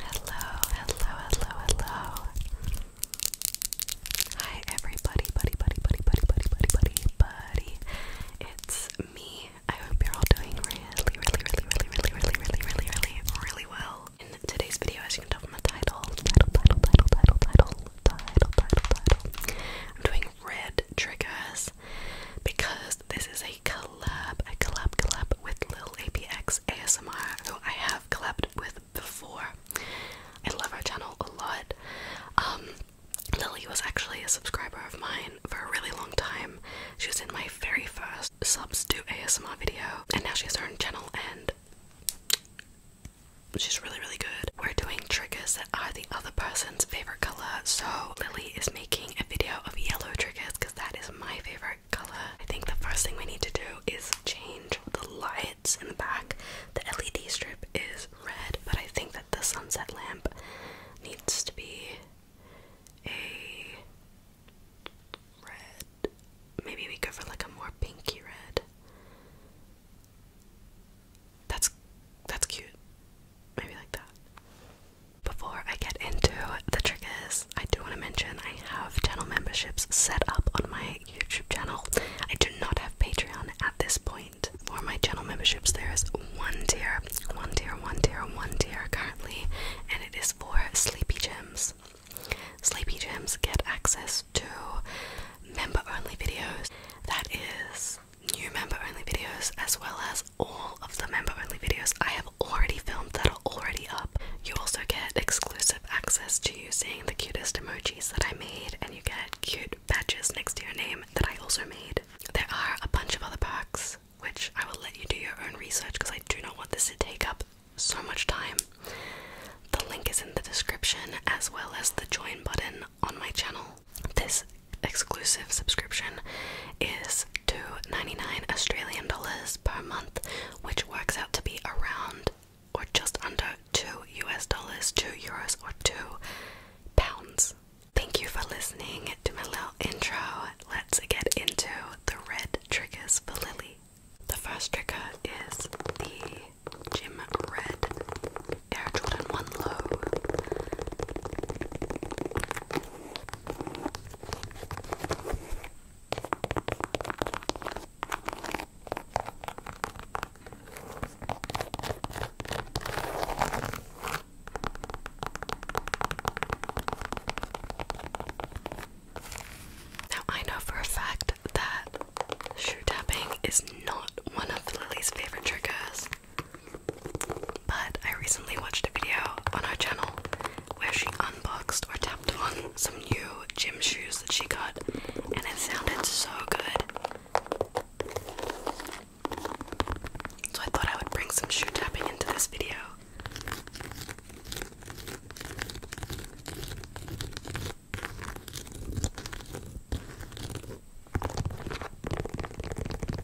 Hello, hello, hello, hello. Hi everybody, buddy, buddy, buddy, buddy, buddy, buddy, buddy, buddy. It's me. I hope you're all doing really, really, really, really, really, really, really, really, really, really well. In today's video, as you can tell from the title, title, title, title, title, title, title, title, title, I'm doing red triggers because this is a collab, a collab collab with Lil APX ASMR, who I have collabed with before. I love her channel a lot. Um, Lily was actually a subscriber of mine for a really long time. She was in my very first subs to ASMR video, and now she has her own channel and she's really, really good. We're doing triggers that are the other person's favorite color. So Lily is making a video of yellow triggers because that is my favorite color. I think the first thing we need to do is change the lights in the back. The LED strip is red, but I think that the sunset lamp needs to be a red. Maybe we go for like a more pinky red. That's that's cute. Maybe like that. Before I get into the triggers, I do want to mention I have channel memberships set up on my YouTube channel. I do not have Patreon at this point. For my channel memberships, there is one tier, one tier, one tier, one tier currently, and it is for Sleepy Gems. Sleepy Gems get access to member only videos, that is, new member only videos, as well as all of the member only videos I have already filmed that are already up. You also get exclusive access to seeing the cutest emojis that I made, and you get cute badges next to your name that I also made. There are a bunch of other perks, which I will let you do your own research because I do not want this to take up so much time. The link is in the description as well as the join button on my channel. This exclusive subscription is to 99 Australian dollars per month, which works out to be around or just under 2 US dollars, 2 euros, or 2 pounds. Thank you for listening to my little intro. Let's get into the red triggers for Lily. The first trigger is the Jim Red Air Jordan 1 Low. Now, I know for a fact that shoe tapping is not one of Lily's favorite triggers. But I recently watched a video on our channel where she unboxed or tapped on some new gym shoes that she got, and it sounded so good. So I thought I would bring some shoe tapping into this video.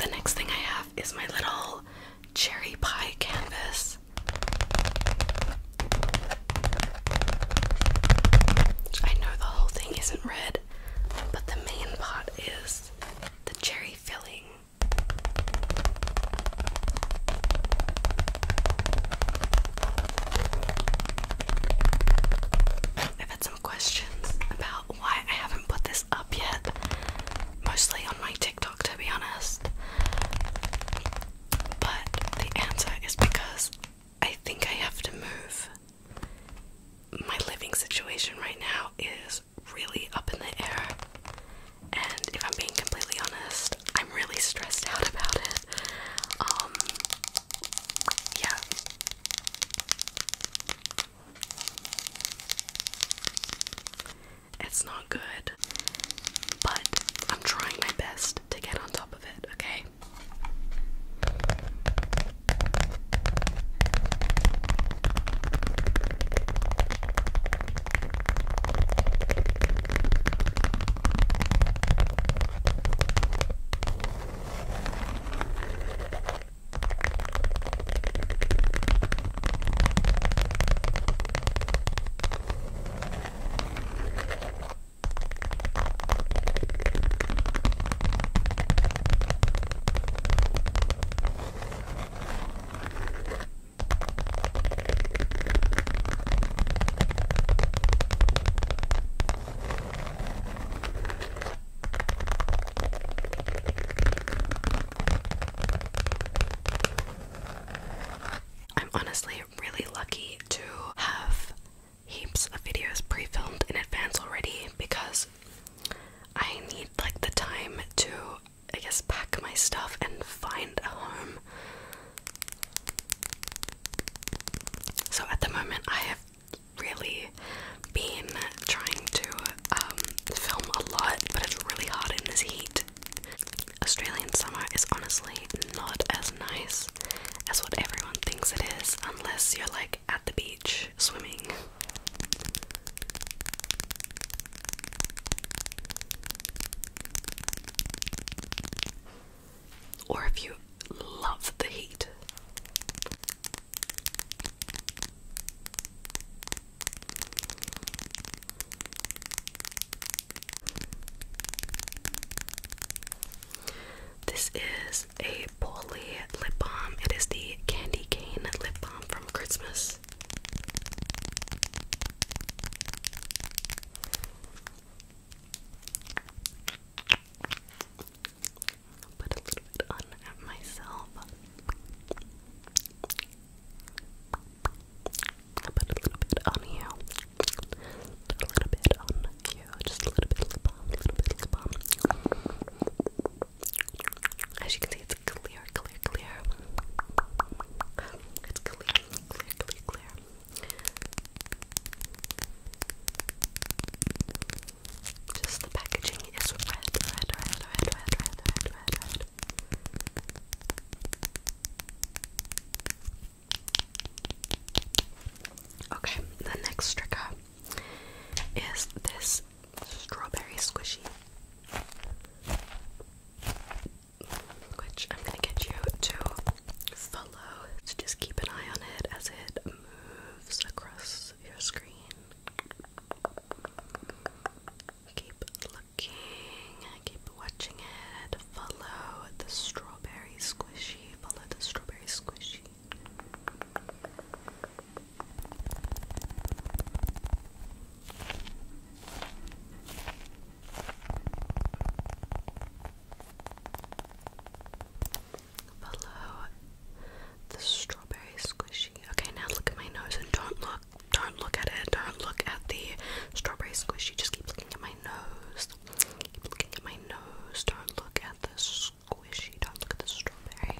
The next thing I have is my little cherry pie canvas. I know the whole thing isn't red, but the main part is the cherry filling. I've had some questions about why I haven't put this up yet, mostly on my TikTok to be honest. But the answer is because I think I have to move. My living situation right now is really up in the air. And if I'm being completely honest, I'm really stressed out about it. Um, yeah. It's not good, but I'm trying my best to get on top of it, okay? I'm honestly actually really lucky to have heaps of videos pre-filmed in advance already because I need like the time to I guess pack my stuff and find a home. So at the moment I have really been trying to um, film a lot but it's really hot in this heat Australian summer is honestly not as nice as what everyone thinks it is, unless you're like at the beach swimming. Or if you love the heat. This is a Polly lip balm. It is the candy cane lip balm from Christmas. put a little bit on myself i put a little bit on you. A little bit on you. Just a little bit lip balm, a little bit lip balm. As you can see, it's clear, clear, clear. It's clear, clear, clear, Just the packaging is red, red, red, red, red, red, red, red. Okay, the next tricker is this strawberry squishy, which I'm gonna get you to follow. So just keep an eye on it as it moves across your screen. Keep looking working. Keep watching it. Follow the strawberry squishy. Follow the strawberry squishy. Follow the strawberry squishy. Okay, now look at my nose and don't look don't look at it, don't look at the strawberry squishy, just keep looking at my nose, keep looking at my nose, don't look at the squishy, don't look at the strawberry.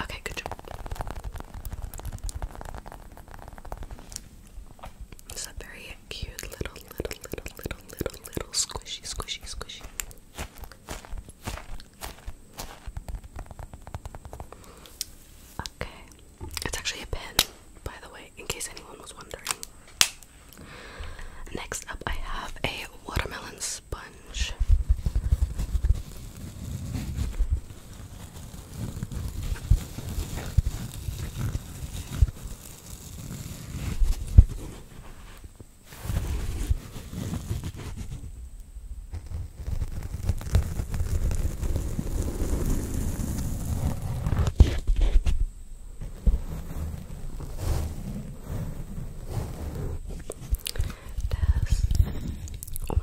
Okay, good job. It's a very cute little, little, little, little, little, little squishy, squishy, squishy. Okay. It's actually a pen, by the way, in case anyone was wondering. Next up, I have a watermelon sponge. Test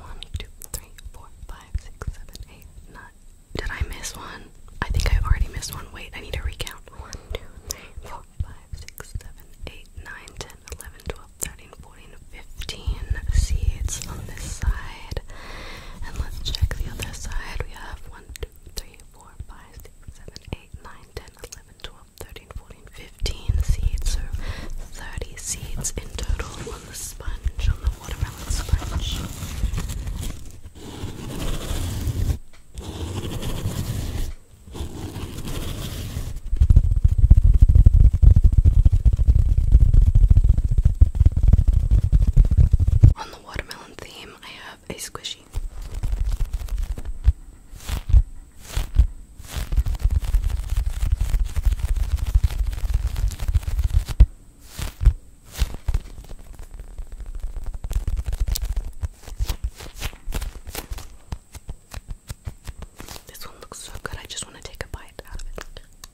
one, two, three, four, five, six, seven, eight, nine. Did I miss one? I think I already missed one. Wait, I need to recount. 1, 2, 3, 4, 5, 6, 7, 8, 9, 10, 11, 12, 13, 14 15 seeds on this side. And let's check the other side. We have 1, 2, 3, 4, 5, 6, 7, 8, 9, 10, 11, 12, 13, 14, 15 seeds. So 30 seeds in total on the sponge, on the watermelon sponge. On the watermelon theme, I have a squishy. This one looks so good, I just want to take a bite out of it.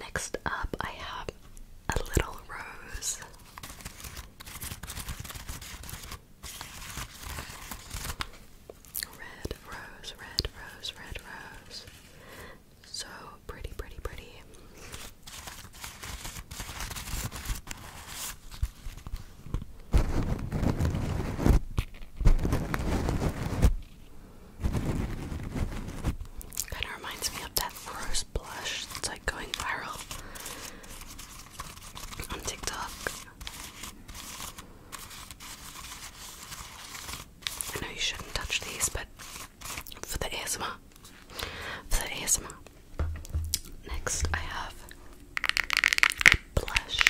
Next up, I have a little rose. Red rose, red rose, red rose. So pretty, pretty, pretty. Kinda reminds me of that rose blush that's like going viral on TikTok. I know you shouldn't touch these, but for the ASMR. For the ASMR. Next, I have blush.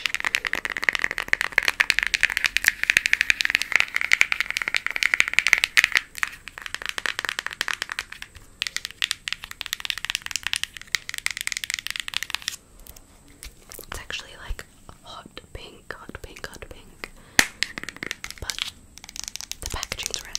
It's actually like hot pink, hot pink, hot pink. But the packaging's red.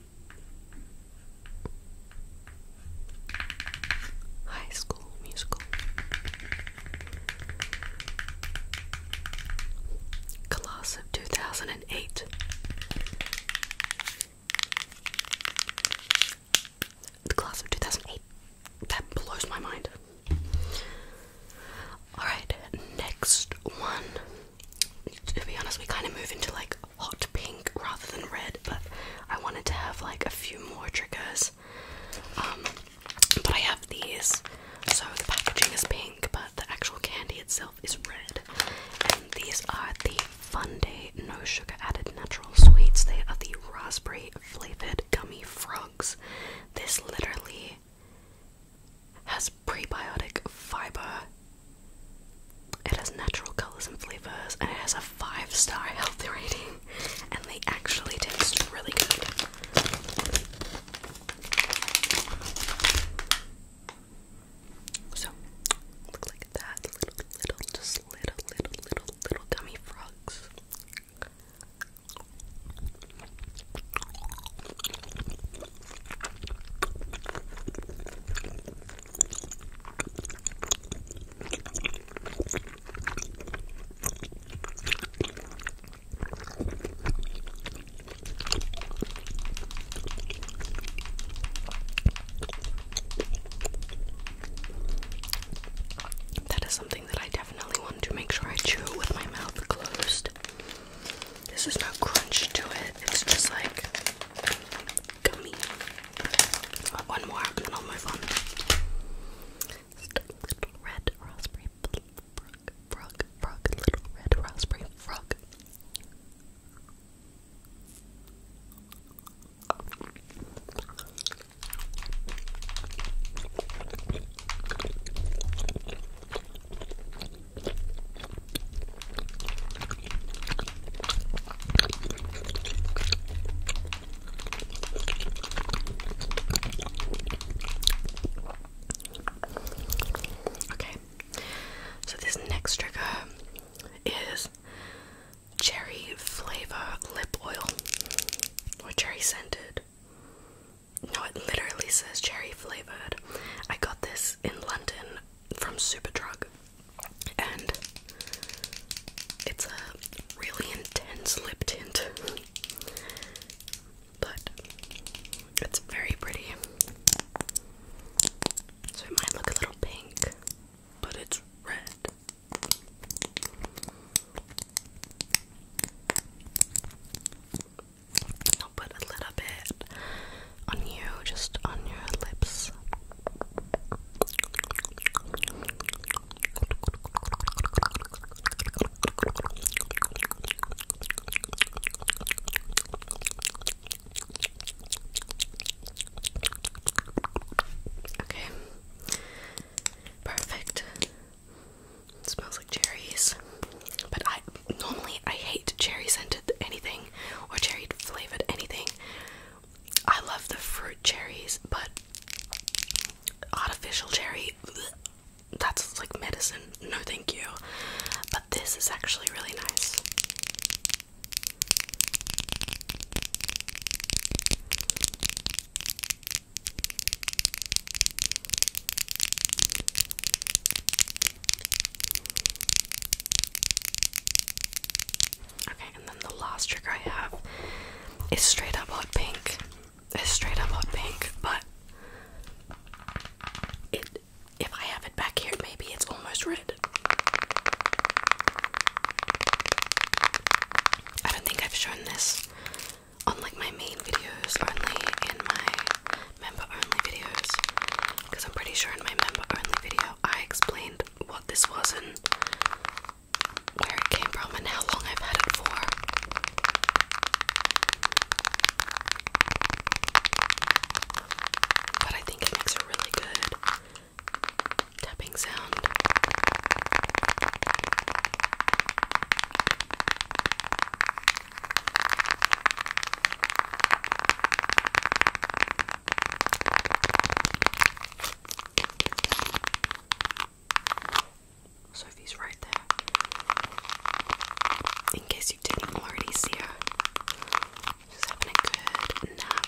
High School Musical. Class of 2008. class of 2008. That blows my mind. Alright, next one. To be honest, we kind of move into like hot pink rather than red, but I wanted to have like a few more triggers. Um, but I have these, so the packaging is pink, but the actual candy itself is red. And these are the Fun Day No Sugar Added Natural Sweets. They are the raspberry flavored gummy frogs. This literally has prebiotic fiber it has natural colors and flavors, and it has a five star healthy rating. And they actually taste really good. So, look like that little, little, just little, little, little, little gummy frogs. That is something that I definitely want to make sure I chew with my mouth closed. This is not crunch to it, it's just like Gummy. one more, and then I'll move on. Little red raspberry frog, frog, frog, little red raspberry frog. Okay, so this next trigger is cherry flavor lip oil or cherry scented. No, it literally says cherry flavored. I got this in London from Superdrug, and it's a really intense lip tint, but it's very pretty. So it might look a little pink, but it's red put a little bit on you, just on your lips. Okay. Perfect. smells like cherries. But I normally I hate cherry scented anything or cherry flavored anything. I love the fruit cherries, but artificial cherry that's like medicine. No, thank you. But this is actually really nice. Okay, and then the last trigger I have is straight up hot pink. It's straight up hot pink, but it if I have it back here, maybe it's almost red. I don't think I've shown this on like my main videos, only in my member only videos because I'm pretty sure in my member only video I explained what this was and where it came from and how long I've had it for. But I think it makes a really good tapping sound. Sophie's right there. In case you didn't already see her, she's having a good nap.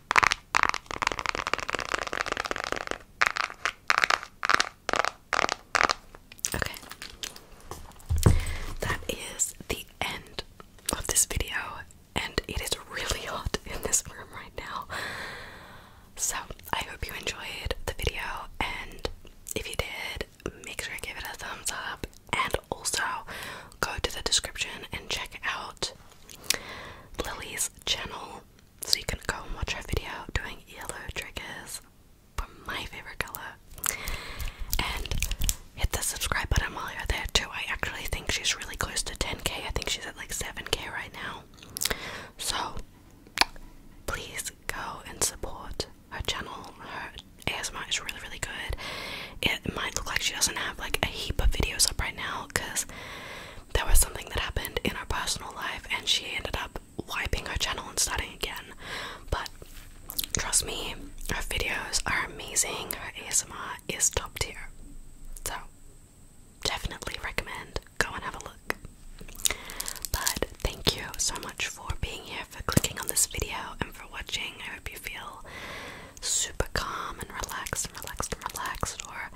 Okay. That is the end of this video, and it is really hot in this room right now. So, I hope you enjoyed the video, and if you did, make sure you give it a thumbs up, and also go to the description and check out Lily's channel, so you can go and watch her video doing yellow triggers for my favorite color. And hit the subscribe button while you're there too. I actually think she's really close to 10k. I think she's at like 7k right now. So please go and support her channel. Her ASMR is really, really good it might look like she doesn't have like a heap of videos up right now because there was something that happened in her personal life and she ended up wiping her channel and starting again. But trust me, her videos are amazing. Her ASMR is top tier. So definitely recommend go and have a look. But thank you so much for being here, for clicking on this video, and for watching. I hope you feel super calm and relaxed and relaxed and relaxed, or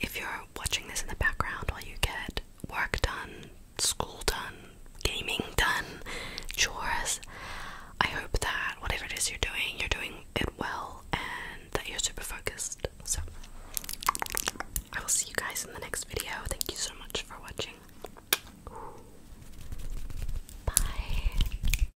if you're watching this in the background while you get work done, school done, gaming done, chores, I hope that whatever it is you're doing, you're doing it well and that you're super focused. So, I will see you guys in the next video. Thank you so much for watching. Bye.